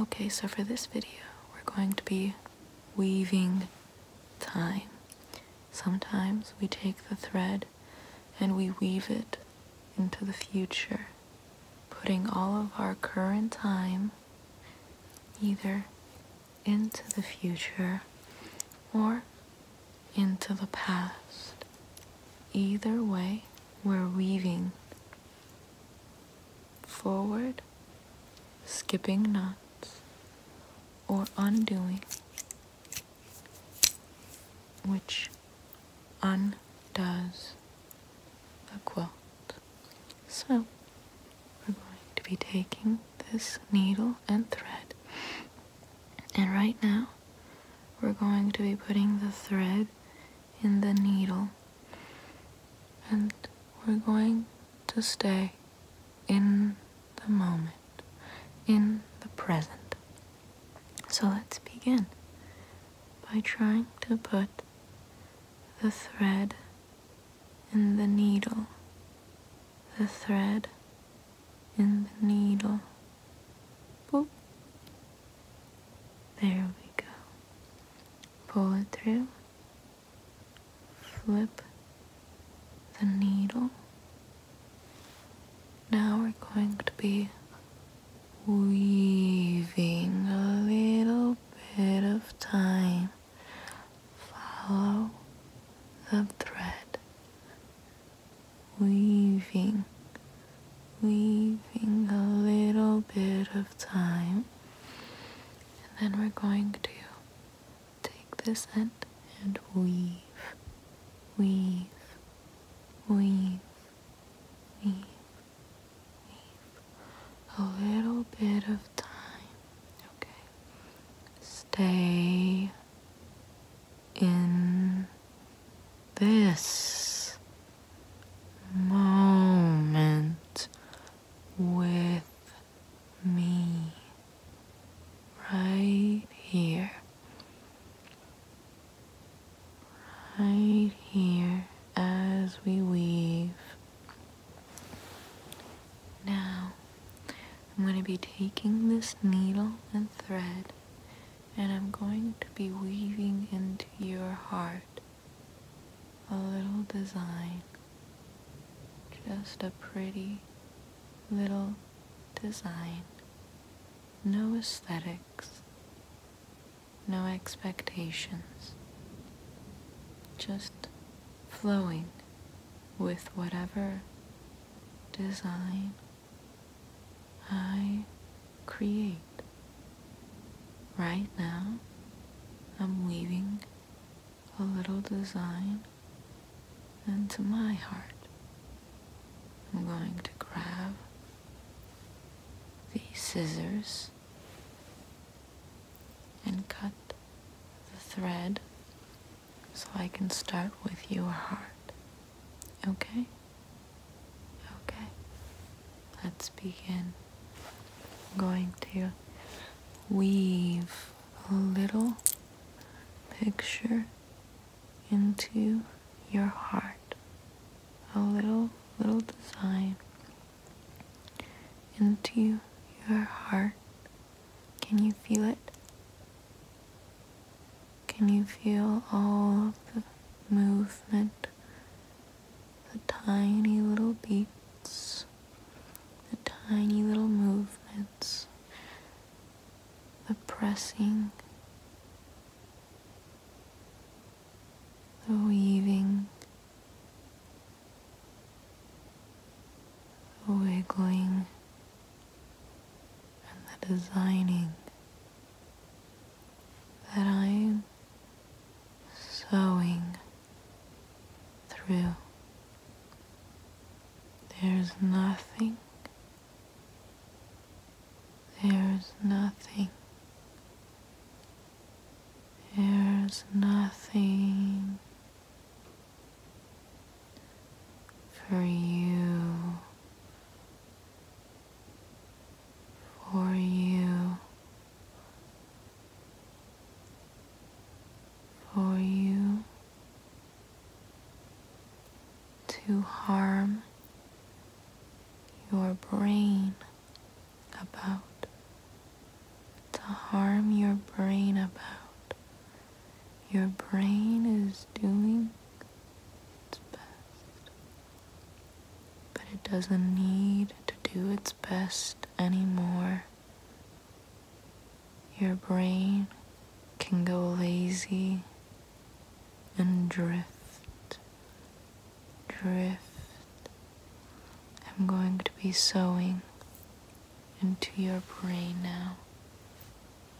Okay, so for this video, we're going to be weaving time. Sometimes we take the thread and we weave it into the future, putting all of our current time either into the future or into the past. Either way, we're weaving forward, skipping knots, or undoing, which undoes the quilt. So, we're going to be taking this needle and thread, and right now, we're going to be putting the thread in the needle and we're going to stay in the moment, in the present. So let's begin by trying to put the thread in the needle the thread in the needle. There we go. Pull it through. Flip the needle. Now we're going to be weaving a little bit of time. Follow the thread weaving, weaving a little bit of time. And then we're going to take this end and weave, weave, weave, weave, weave a little bit of time. Okay. Stay in this moment with me right here, right here as we weave. Now, I'm going to be taking this needle and thread and I'm going to be weaving into your heart a little design. Just a pretty little design. No aesthetics. No expectations. Just flowing with whatever design I create. Right now, I'm weaving a little design into my heart. I'm going to grab the scissors and cut the thread so I can start with your heart. Okay? Okay. Let's begin. I'm going to weave a little picture into your heart. A little, little design into your heart. Can you feel it? Can you feel all the movement? The tiny little beats, the tiny little movements, the pressing, the weaving, the wiggling and the designing that I am sewing through. There's nothing, there's nothing, there's nothing for you, for you, for you to harm your brain about, to harm your brain about your brain is doing its best, but it doesn't need to do its best anymore. Your brain can go lazy and drift, drift. I'm going to be sewing into your brain now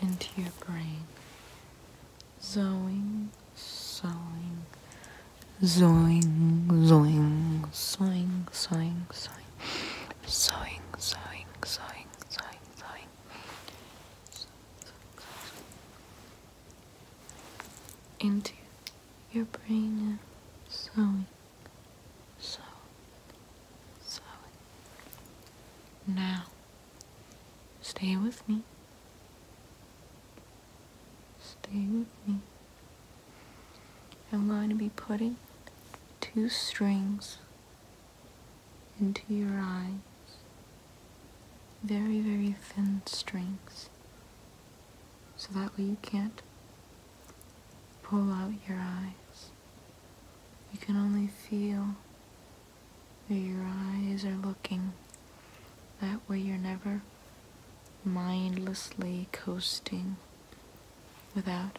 into your brain. Zoing, sewing, zoing, zoing, sewing, sewing, sewing, sewing, sewing, sewing, sewing, sewing, into your brain and sewing, sewing, Now, stay with me. Stay with me. I'm going to be putting two strings into your eyes, very, very thin strings, so that way you can't pull out your eyes. You can only feel where your eyes are looking. That way you're never mindlessly coasting without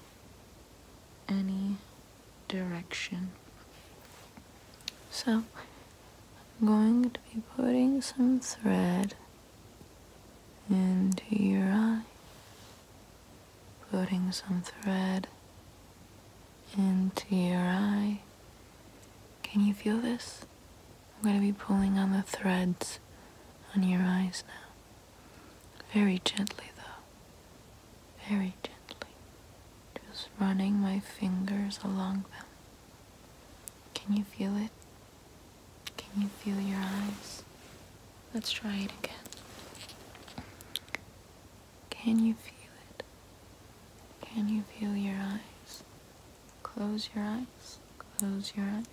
any direction. So I'm going to be putting some thread into your eye, putting some thread into your eye. Can you feel this? I'm going to be pulling on the threads on your eyes now. Very gently, though very gently, just running my fingers along them. Can you feel it? Can you feel your eyes? Let's try it again. Can you feel it? Can you feel your eyes? Close your eyes. Close your eyes.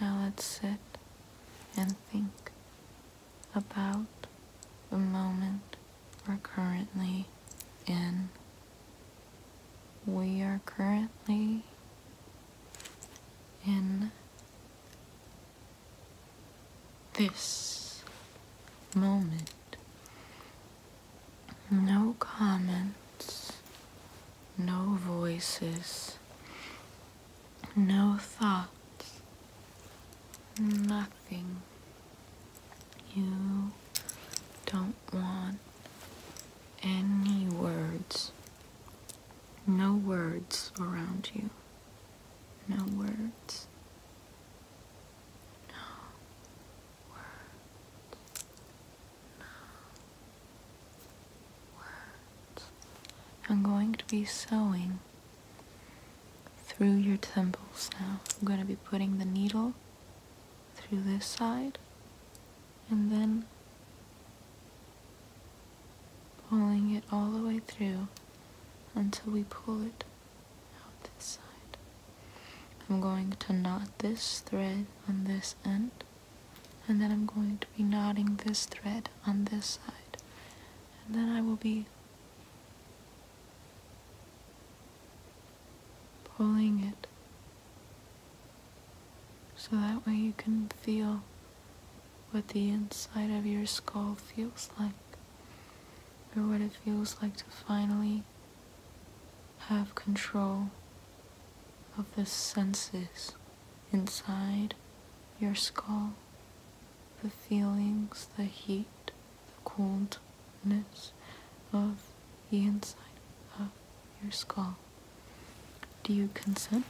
Now let's sit and think about the moment we're currently in. We are currently in this moment. No comments, no voices, no thoughts. Nothing. You don't want any words. No words around you. No words. No words. No words. I'm going to be sewing through your temples now. I'm going to be putting the needle through this side and then pulling it all the way through until we pull it out this side. I'm going to knot this thread on this end and then I'm going to be knotting this thread on this side and then I will be pulling it so that way you can feel what the inside of your skull feels like or what it feels like to finally have control of the senses inside your skull the feelings, the heat, the coldness of the inside of your skull. Do you consent?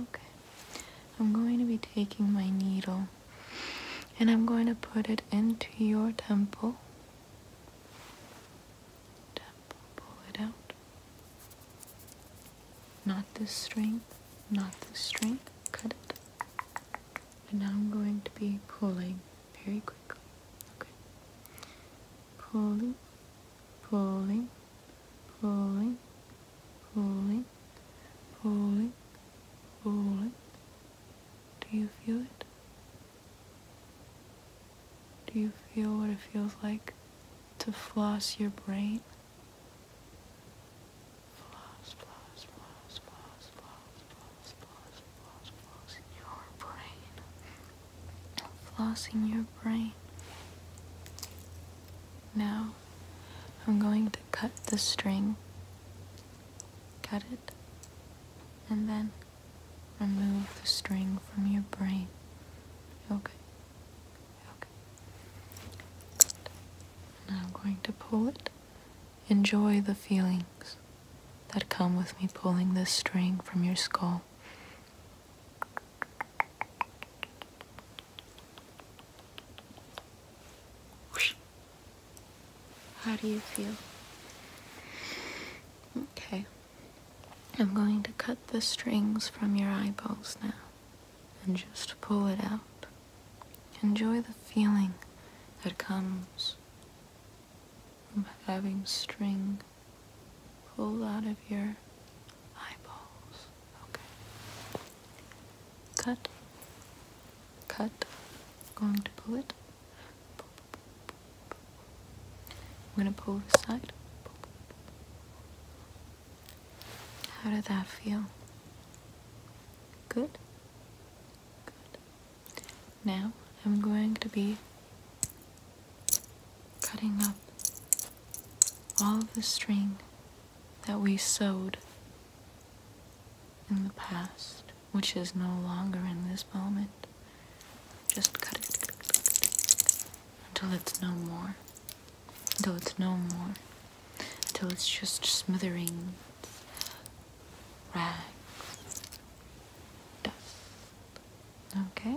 Okay. I'm going to be taking my needle and I'm going to put it into your temple. Temple, pull it out. Not this string, not this string, cut it. And now I'm going to be pulling very quickly. Okay. Pulling, pulling, pulling, pulling, pulling, pulling. Do you feel it? Do you feel what it feels like to floss your brain? Floss, floss, floss, floss, floss, floss, floss, floss, in your brain. Floss your brain. Now I'm going to cut the string. Cut it. And then remove the string from your brain. Okay. Okay. Now I'm going to pull it. Enjoy the feelings that come with me pulling this string from your skull. How do you feel? Okay. I'm going to cut the strings from your eyeballs now and just pull it out. Enjoy the feeling that comes from having string pulled out of your eyeballs. Okay. Cut. Cut. going to pull it. I'm going to pull this side. How did that feel? Good? Good. Now I'm going to be cutting up all of the string that we sewed in the past, which is no longer in this moment. Just cut it until it's no more. Until it's no more until it's just smothering rags, dust. Okay?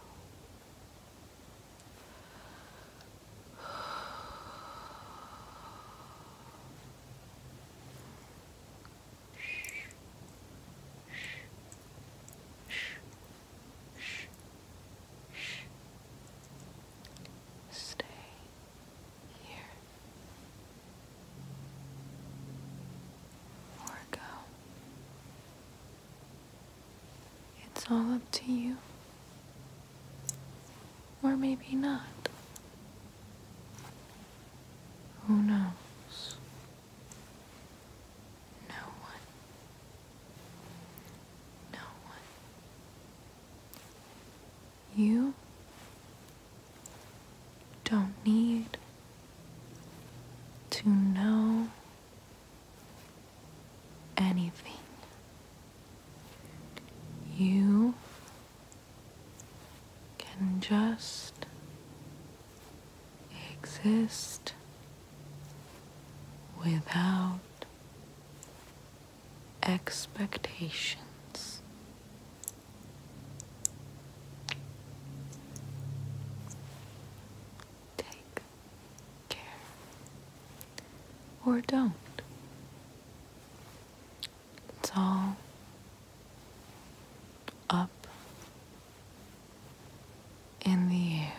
Stay here or go. It's all up to you. Or maybe not. Who knows? No one. No one. You don't need to know anything. You can just exist without expectations take care or don't. It's all up in the air.